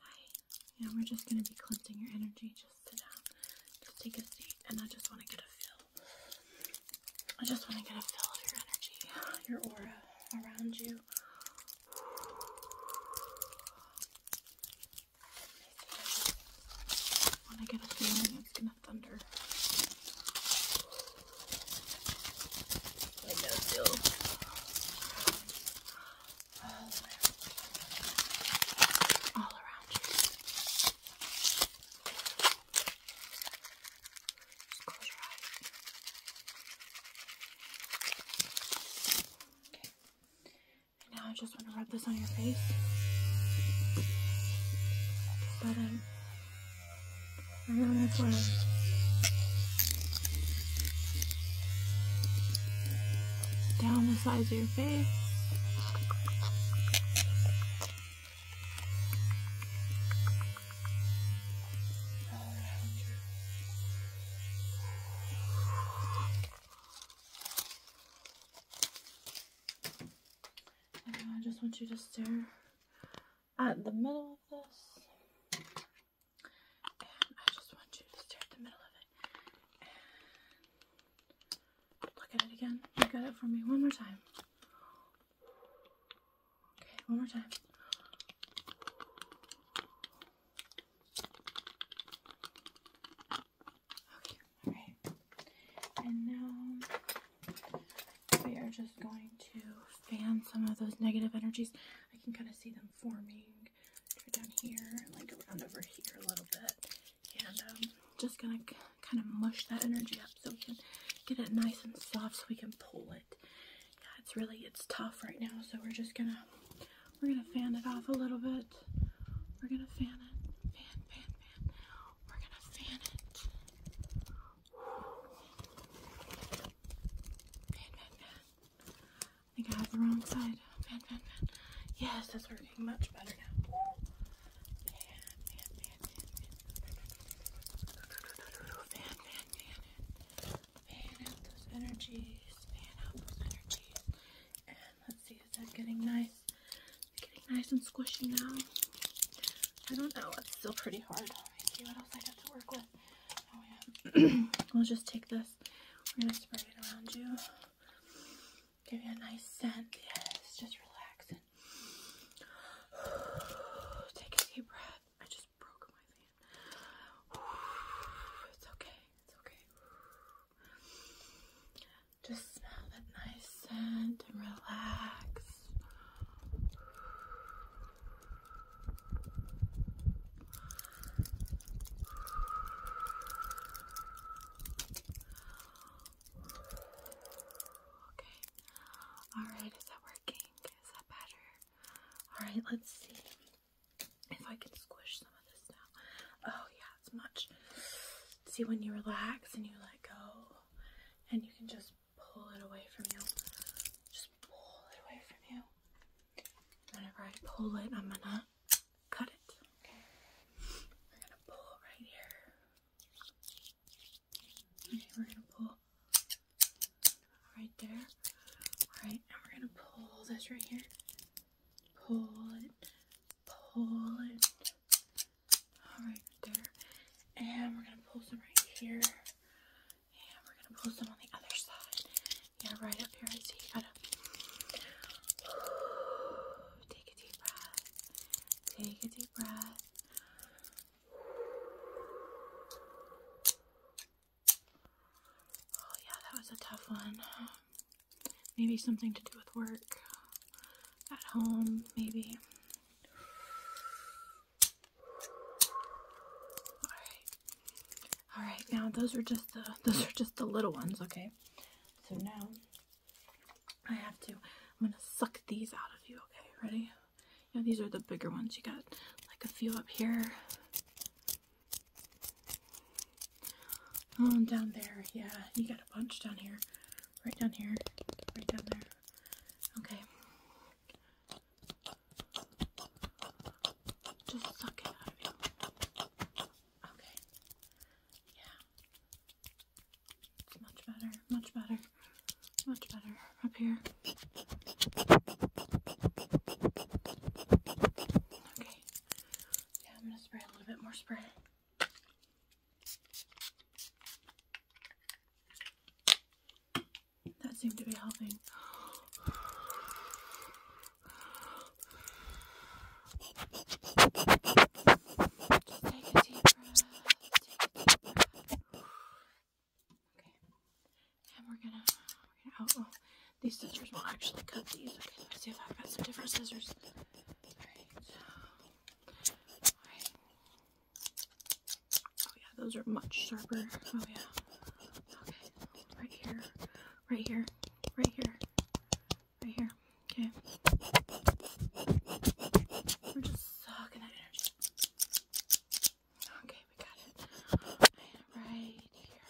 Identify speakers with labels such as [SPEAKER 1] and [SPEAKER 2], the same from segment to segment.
[SPEAKER 1] Hi. Yeah, we're just gonna be cleansing your energy. Just sit down. Just take a seat, and I just want to get a feel. I just want to get a feel of your energy, your aura around you. I want to get a feeling it's gonna thunder. I know still. All around close your eyes. Okay. now I just want to rub this on your face. Just let I'm gonna play. Down the sides of your face. I just want you to stare at the middle of this. I just want you to stare at the middle of it. And look at it again. Look at it for me one more time. Okay, one more time. Okay, alright. And now we are just going to fan some of those negative energies. I can kind of see them forming right down here, like around over here a little bit. And um, just gonna kind of mush that energy up so we can get it nice and soft so we can pull it. Yeah, it's really, it's tough right now. So we're just gonna, we're gonna fan it off a little bit. We're gonna fan it, fan, fan, fan. We're gonna fan it. I think I have the wrong side. Yes, that's working much better now. Fan, out those energies. Fan out those energies. And let's see, is that getting nice? getting nice and squishy now. I don't know. It's still pretty hard. Let's see what else I have to work with. Oh, yeah. we'll just take this. We're going to spray it around you. Give you a nice scent. Yes, just relax and take a deep breath. I just broke my hand. It's okay. It's okay. Just smell that nice scent and relax. Okay. All right, is that working? Is that better? All right, let's see if I can squish some of this now. Oh, yeah, it's much. See, when you relax and you let go, and you can just pull it away from you. Just pull it away from you. Whenever I pull it, I'm gonna cut it. Okay. We're gonna pull it right here. Okay, we're gonna pull right there. Alright, and we're gonna pull this right here. Pull it, pull it, all right, there. And we're gonna pull some right here. And we're gonna pull some on the other side. Yeah, right up here. take a deep breath. Take a deep breath. Oh yeah, that was a tough one. Maybe something to do with work. At home, maybe. Alright. Alright, now those are just the those are just the little ones, okay? So now I have to I'm gonna suck these out of you, okay? Ready? Yeah, these are the bigger ones. You got like a few up here. Um, down there, yeah, you got a bunch down here right down here, right down there. Okay. Just suck it out Okay. Yeah. much better, much better, much better up here. Okay. Yeah, I'm gonna spray a little bit more spray. That seemed to be helping. Okay. And we're gonna, oh, these scissors will not actually cut these. Okay, let's see if I've got some different scissors. Oh yeah, those are much sharper. Oh yeah. Okay. Right here. Right here. Right here. Right here. Okay. We're just sucking that energy. Okay, we got it. Right here. Right in here.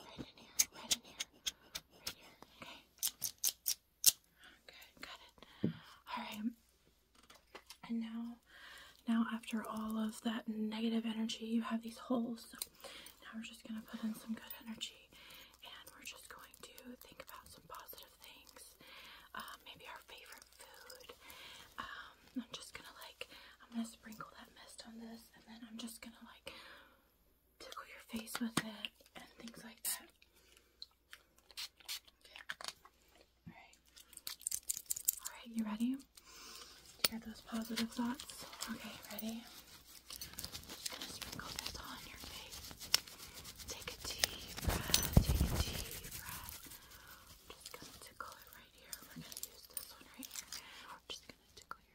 [SPEAKER 1] Right in here. Right here. Okay. Good, got it. Alright. And now now after all of that negative energy you have these holes. now we're just gonna put in some good energy and we're just going to think about some positive things. Uh, maybe our favorite food. Um, I'm just gonna like I'm gonna sprinkle that mist on this and then I'm just gonna like tickle your face with it and things like that. Alright. Alright, you ready? To hear those positive thoughts? Okay, ready? Just gonna sprinkle this on your face. Take a deep breath. Take a deep breath. I'm just gonna tickle it right here. We're gonna use this one right here. We're just gonna tickle your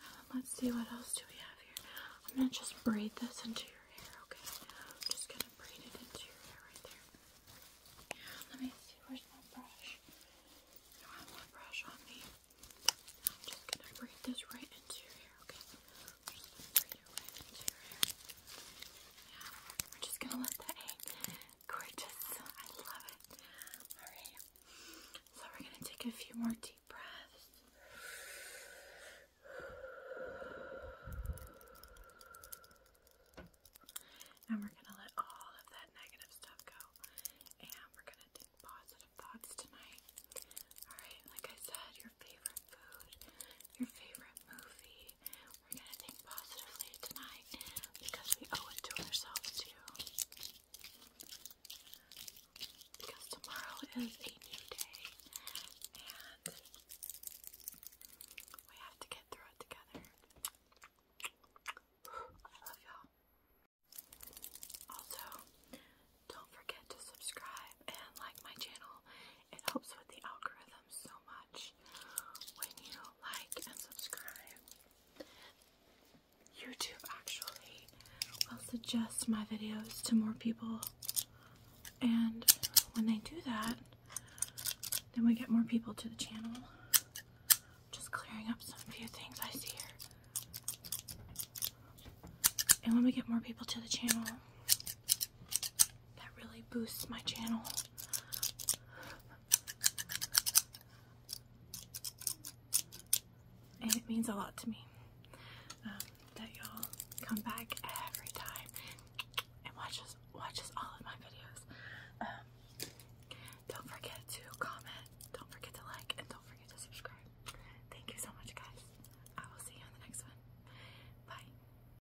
[SPEAKER 1] um, let's see what else do we have here. I'm gonna just braid this into your hair, okay? I'm just gonna braid it into your hair right there. let me see. Where's my brush? I have my brush on me. I'm just gonna braid this right into your hair, okay? I'm right into your hair. Yeah, we're just gonna let that Gorgeous. I love it. Alright. So we're going to take a few more deep breaths. And we're going to let all of that negative stuff go. And we're going to think positive thoughts tonight. Alright, like I said, your favorite food, your favorite movie, we're gonna think positively tonight because we owe it to ourselves too. Because tomorrow is a new day and we have to get through it together. I love y'all. Also, don't forget to subscribe and like my channel. It helps with the algorithm so much when you like and subscribe. YouTube actually will suggest my videos to more people, and when they do that, then we get more people to the channel. Just clearing up some few things I see here. And when we get more people to the channel, that really boosts my channel. And it means a lot to me um, that y'all come back every time and watches watches all of my videos. Um, don't forget to comment, don't forget to like, and don't forget to subscribe. Thank you so much, guys. I will see you on the next one. Bye.